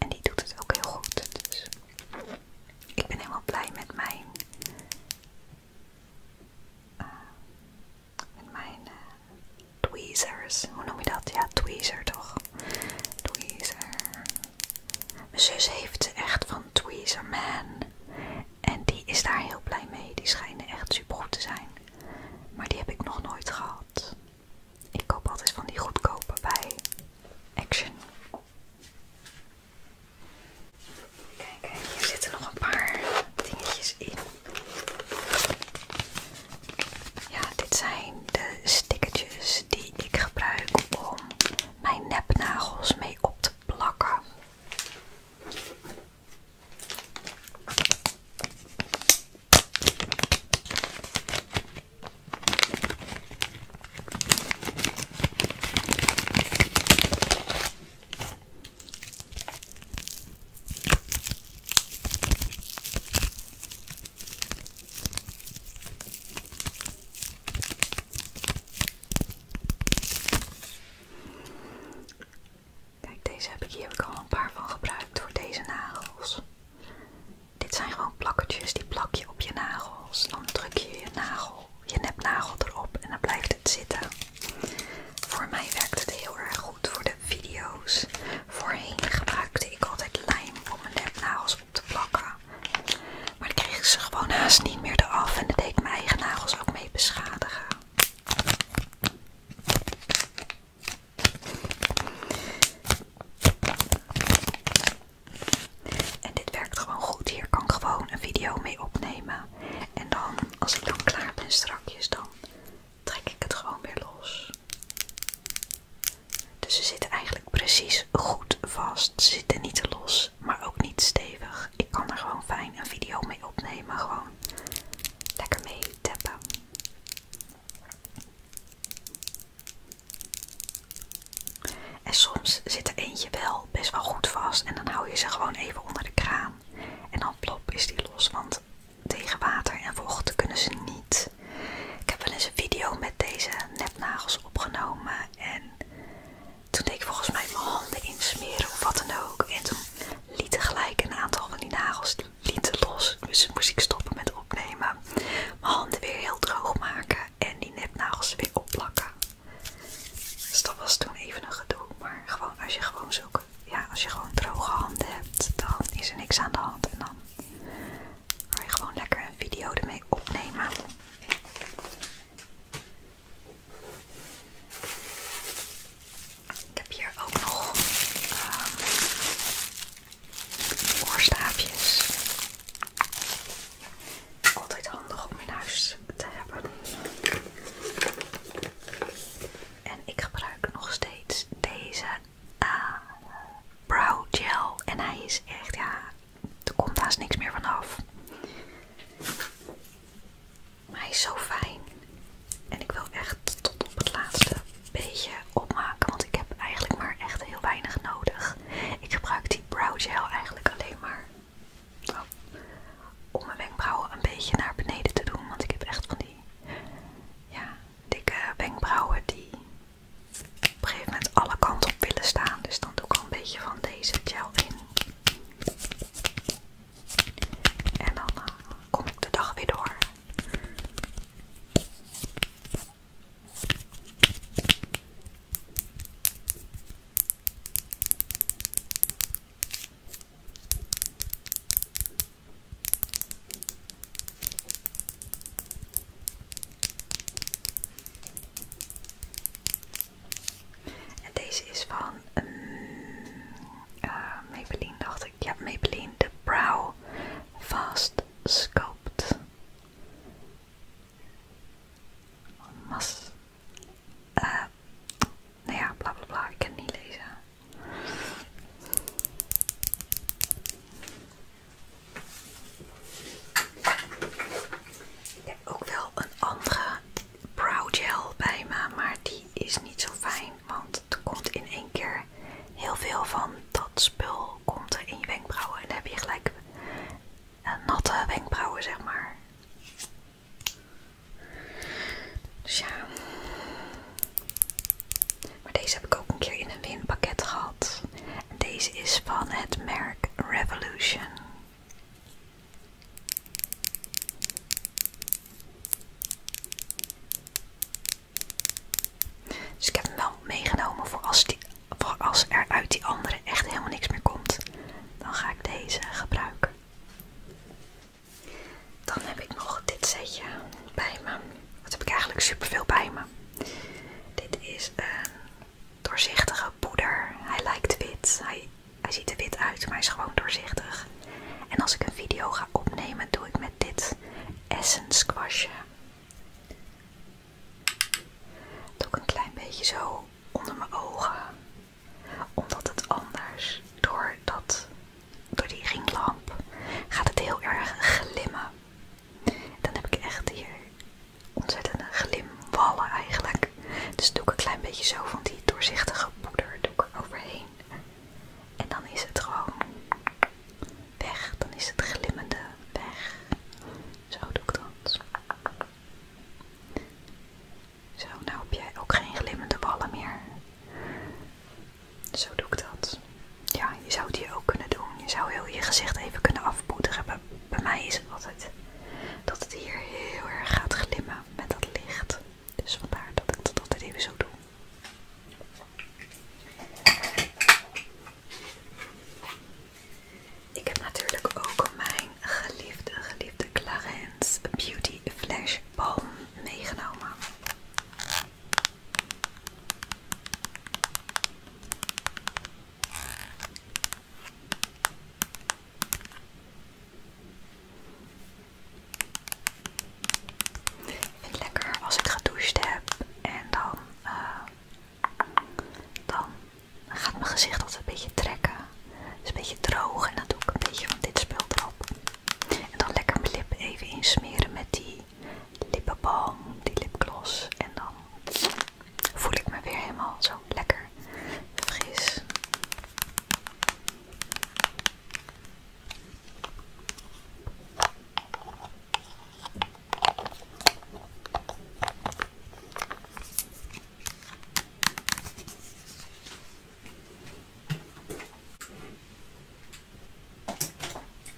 En die doet het ook heel goed. Dus ik ben helemaal blij met mijn, eh, met mijn eh, tweezers. Hoe noem je dat? Ja, tweezer toch? Tweezer. Mijn zus heeft ze echt van Tweezer Man. En die is daar heel blij mee. Die schijnen echt super goed te zijn. Maar die heb ik nog nooit gehad. Ik koop altijd van die goedkope bij Action. Kijk, hier zitten nog een paar dingetjes in. Ja, dit zijn de stickertjes die ik gebruik om mijn nepnagels mee op te plakken. Kijk, deze heb ik hier heb al een paar van gebruikt voor deze nagels. Dit zijn gewoon plakkertjes, die plak je op je nagels. Dan druk je je nagel, je nepnagel erop en dan blijft het zitten. Voor mij werkt het heel erg goed voor de video's. Voorheen maakte ik altijd lijm om mijn nepnagels op te plakken. Maar dan kreeg ik ze gewoon haast niet meer eraf en dat deed mijn eigen nagels ook mee beschadigen. En dit werkt gewoon goed. Hier kan gewoon een video mee opnemen. En dan, als ik dan klaar ben strakjes, dan trek ik het gewoon weer los. Dus ze zitten eigenlijk precies goed vast. Ze zitten niet te los, maar ook niet stevig. Ik kan er gewoon fijn een video mee opnemen. Gewoon lekker mee tappen. En soms zit er eentje wel best wel goed vast en dan hou je ze gewoon even onder de kraan. En dan plop is die los, want tegen water en vocht kunnen ze niet. Ik heb wel eens een video met deze nepnagels opgenomen en toen deed ik volgens mij mijn handen insmeren of wat dan ook. En toen liet gelijk een aantal van die nagels lieten los, dus moest ik stoppen met opnemen. Mijn handen weer heel droog maken en die nepnagels weer opplakken. Dus dat was toen even een gedoe. Maar gewoon als je gewoon zo ja, als je gewoon droge handen hebt, dan is er niks aan de hand. En dan kan je gewoon lekker een video ermee opnemen. Ik heb hier ook nog ehm, Oorstaafjes. Altijd handig om in huis te hebben. En ik gebruik nog steeds deze A eh, brow gel. En hij is echt, ja, er komt haast niks meer vanaf. Maar hij is zo fijn. En ik wil echt tot op het laatste beetje opmaken. Want ik heb eigenlijk maar echt heel weinig nodig. Ik gebruik die brow gel eigenlijk alleen maar om mijn wenkbrauwen een beetje naar beneden te doen. Want ik heb echt van die dikke wenkbrauwen die op een gegeven moment alle kanten op willen staan. Dus dan doe ik al een beetje van deze gel in. En dan eh, kom ik de dag weer door. En deze is van um, Maybelline, dacht ik. Ja, Maybelline, de Brow Fast Sculpt. Mas. Eh, nou ja, bla bla bla, ik kan niet lezen. Ik heb ook wel een andere brow gel bij me, maar die is niet zo fijn, want er komt in één keer heel veel van dat spul komt er in je wenkbrauwen en dan heb je gelijk natte wenkbrauwen, zeg maar. Dus ja. Maar deze heb ik ook een keer in een winpakket gehad. deze is van het merk Revolution. Dus ik heb hem wel meegenomen voor als, die, als er uit die andere echt helemaal niks meer komt, dan ga ik deze gebruiken. Dan heb ik nog dit setje bij me. Wat heb ik eigenlijk superveel bij me. Dit is een doorzichtige poeder. Hij lijkt wit. Hij, ziet er wit uit, maar hij is gewoon doorzichtig. En als ik een video ga opnemen, doe ik met dit Essence squasje. Doe ik een klein beetje zo onder mijn ogen. Omdat het anders, door, dat, door die ringlamp, gaat het heel erg glimmen. Dan heb ik echt hier ontzettende glimwallen eigenlijk. Dus doe ik een klein beetje zo van die doorzichtige poeder doe ik er overheen. En dan is het gewoon weg. Dan is het glimmende weg. Zo doe ik dat. Zo, nou heb jij ook geen glimmende ballen meer. Zo doe ik dat. Ja, je zou die ook kunnen doen. Je zou heel je gezicht even kunnen afpoederen. Bij, bij mij is het altijd dat het hier heel erg gaat glimmen met dat licht. Dus vandaar dat ik dat altijd even zo doe. Ik heb natuurlijk ook mijn geliefde, geliefde Clarins Beauty Flash Balm meegenomen. Ik vind het lekker als ik gedoucht heb en dan, eh, dan dan gaat mijn gezicht altijd een beetje trekken. Het is een beetje droog en dan doe ik een beetje van dit spul erop. En dan lekker mijn lippen even insmeren met die lippenbalm, die lipgloss. En dan voel ik me weer helemaal zo lekker fris.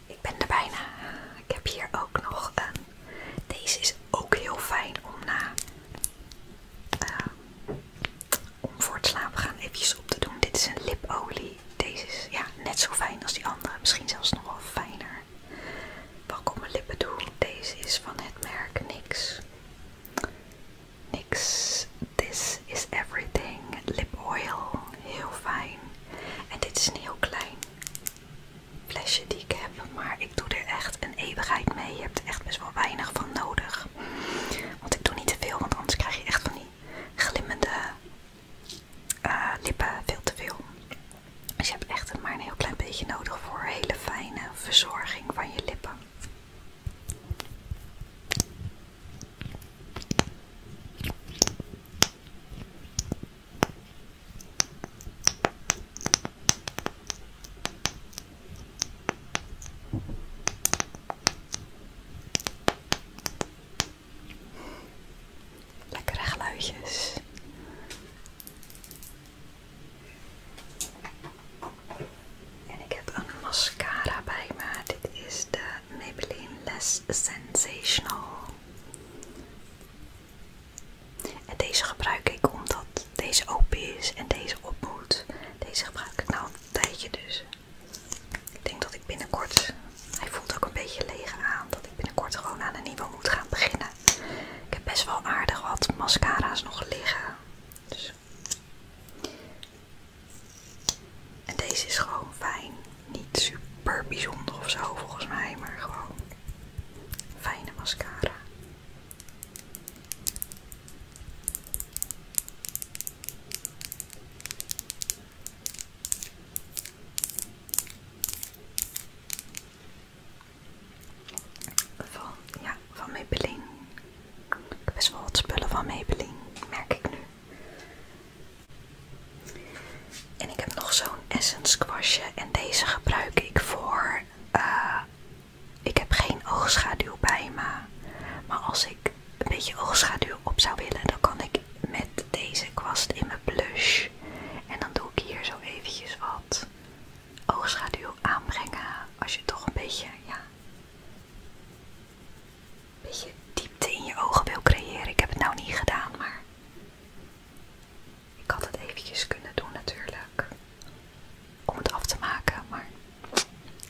Ik ben er bijna. Ik heb hier ook nog een. Deze is ook heel fijn om na. Ehm, om voor het slapen gaan eventjes op te doen. Dit is een lipolie. Deze is ja, net zo fijn als die andere. Misschien zelfs nog wel fijner. Wat ik op mijn lippen doe. Deze is van het merk Nix. Nix This Is Everything Lip Oil. Heel fijn. En dit is een heel klein flesje die ik heb. Maar ik doe er echt een eeuwigheid mee. Je hebt er echt best wel weinig van nodig. Want ik doe niet te veel. Want anders krijg je echt van die glimmende eh, lippen veel te veel. Dus je hebt echt maar een heel klein beetje nodig voor hele fijne verzorging van je lippen. Lekkere geluidjes. En ik heb een mascara bij me. Dit is de Maybelline Less Sensational. En deze gebruik ik omdat deze open is en deze op moet. Deze gebruik ik nou een tijdje dus. Ik denk dat ik binnenkort, hij voelt ook een beetje leeg aan, dat ik binnenkort gewoon aan een nieuwe moet gaan beginnen. Ik heb best wel aardig wat mascara's nog liggen. Dus- en deze is gewoon fijn. Niet super bijzonder of zo volgens mij, maar gewoon fijne mascara. Van, ja, Maybelline. Ik heb best wel wat spullen van Maybelline, merk ik nu. En ik heb nog zo'n essence kwastje. En deze gebruik ik voor... Eh, ik heb geen oogschaduw bij me. Maar als ik een beetje oogschaduw op zou willen, dan kan ik met deze kwast in mijn blush. En dan doe ik hier zo eventjes wat oogschaduw aanbrengen als je toch een beetje, ja, een beetje diepte in je ogen wil creëren. Ik heb het nou niet gedaan, maar ik had het eventjes kunnen doen natuurlijk, om het af te maken, maar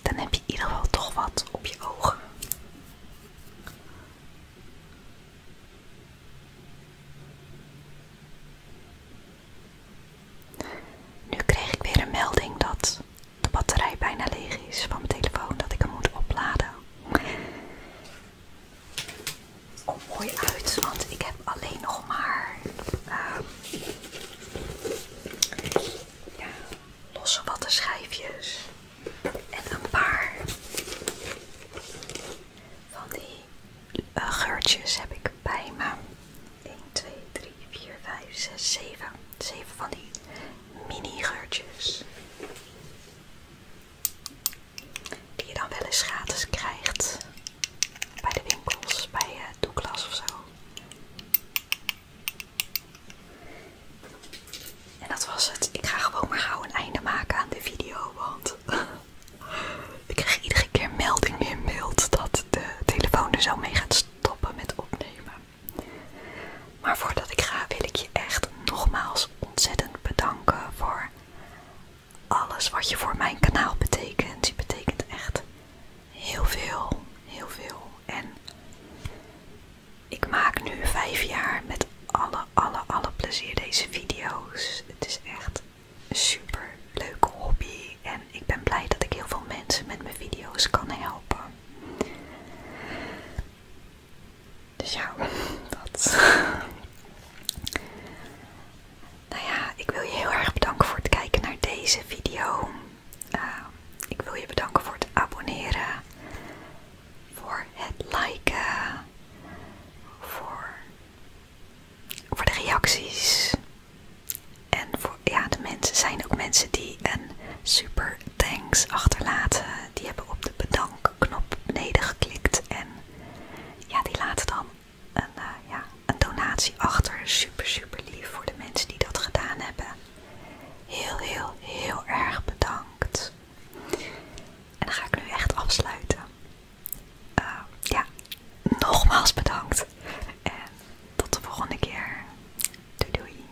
dan heb je in ieder geval toch wat op je ogen. Nu kreeg ik weer een melding dat de batterij bijna leeg is van mijn telefoon, dat ik hem moet opladen. Komt mooi uit, want ik heb alleen nog maar ehm, ja, losse wattenschijfjes en een paar van die uh, geurtjes heb ik bij me. 1, 2, 3, 4, 5, 6, 7. 7 van die mini geurtjes. Die je dan wel eens gratis krijgt. Bij de winkels, bij uh, Douglas of zo. En dat was het. Ik ga gewoon maar gauw een einde maken aan de video, want Ik krijg iedere keer melding in beeld dat de telefoon er zo mee gaat stoppen met opnemen. Maar voordat ik ga wil ik je echt nogmaals ontzettend bedanken voor alles wat je voor mijn kanaal betekent. Je betekent echt heel veel, heel veel. En ik maak nu vijf jaar met alle, alle, alle plezier deze video's. Het is echt super leuke hobby en ik ben blij dat ik heel veel mensen met mijn video's kan helpen. Dus ja, dat. Nou ja, ik wil je heel erg bedanken voor het kijken naar deze video. Ehm, ik wil je bedanken voor het abonneren, voor het liken, voor voor de reacties. En voor, ja, de mensen zijn ook mensen die een super thanks achterlaten. Die hebben op de bedankknop beneden geklikt. En ja, die laten dan een, eh, ja, een donatie achter. Super, super lief voor de mensen die dat gedaan hebben. Heel, heel, heel erg bedankt. En dan ga ik nu echt afsluiten. Eh, ja, nogmaals bedankt. En tot de volgende keer. Doei doei.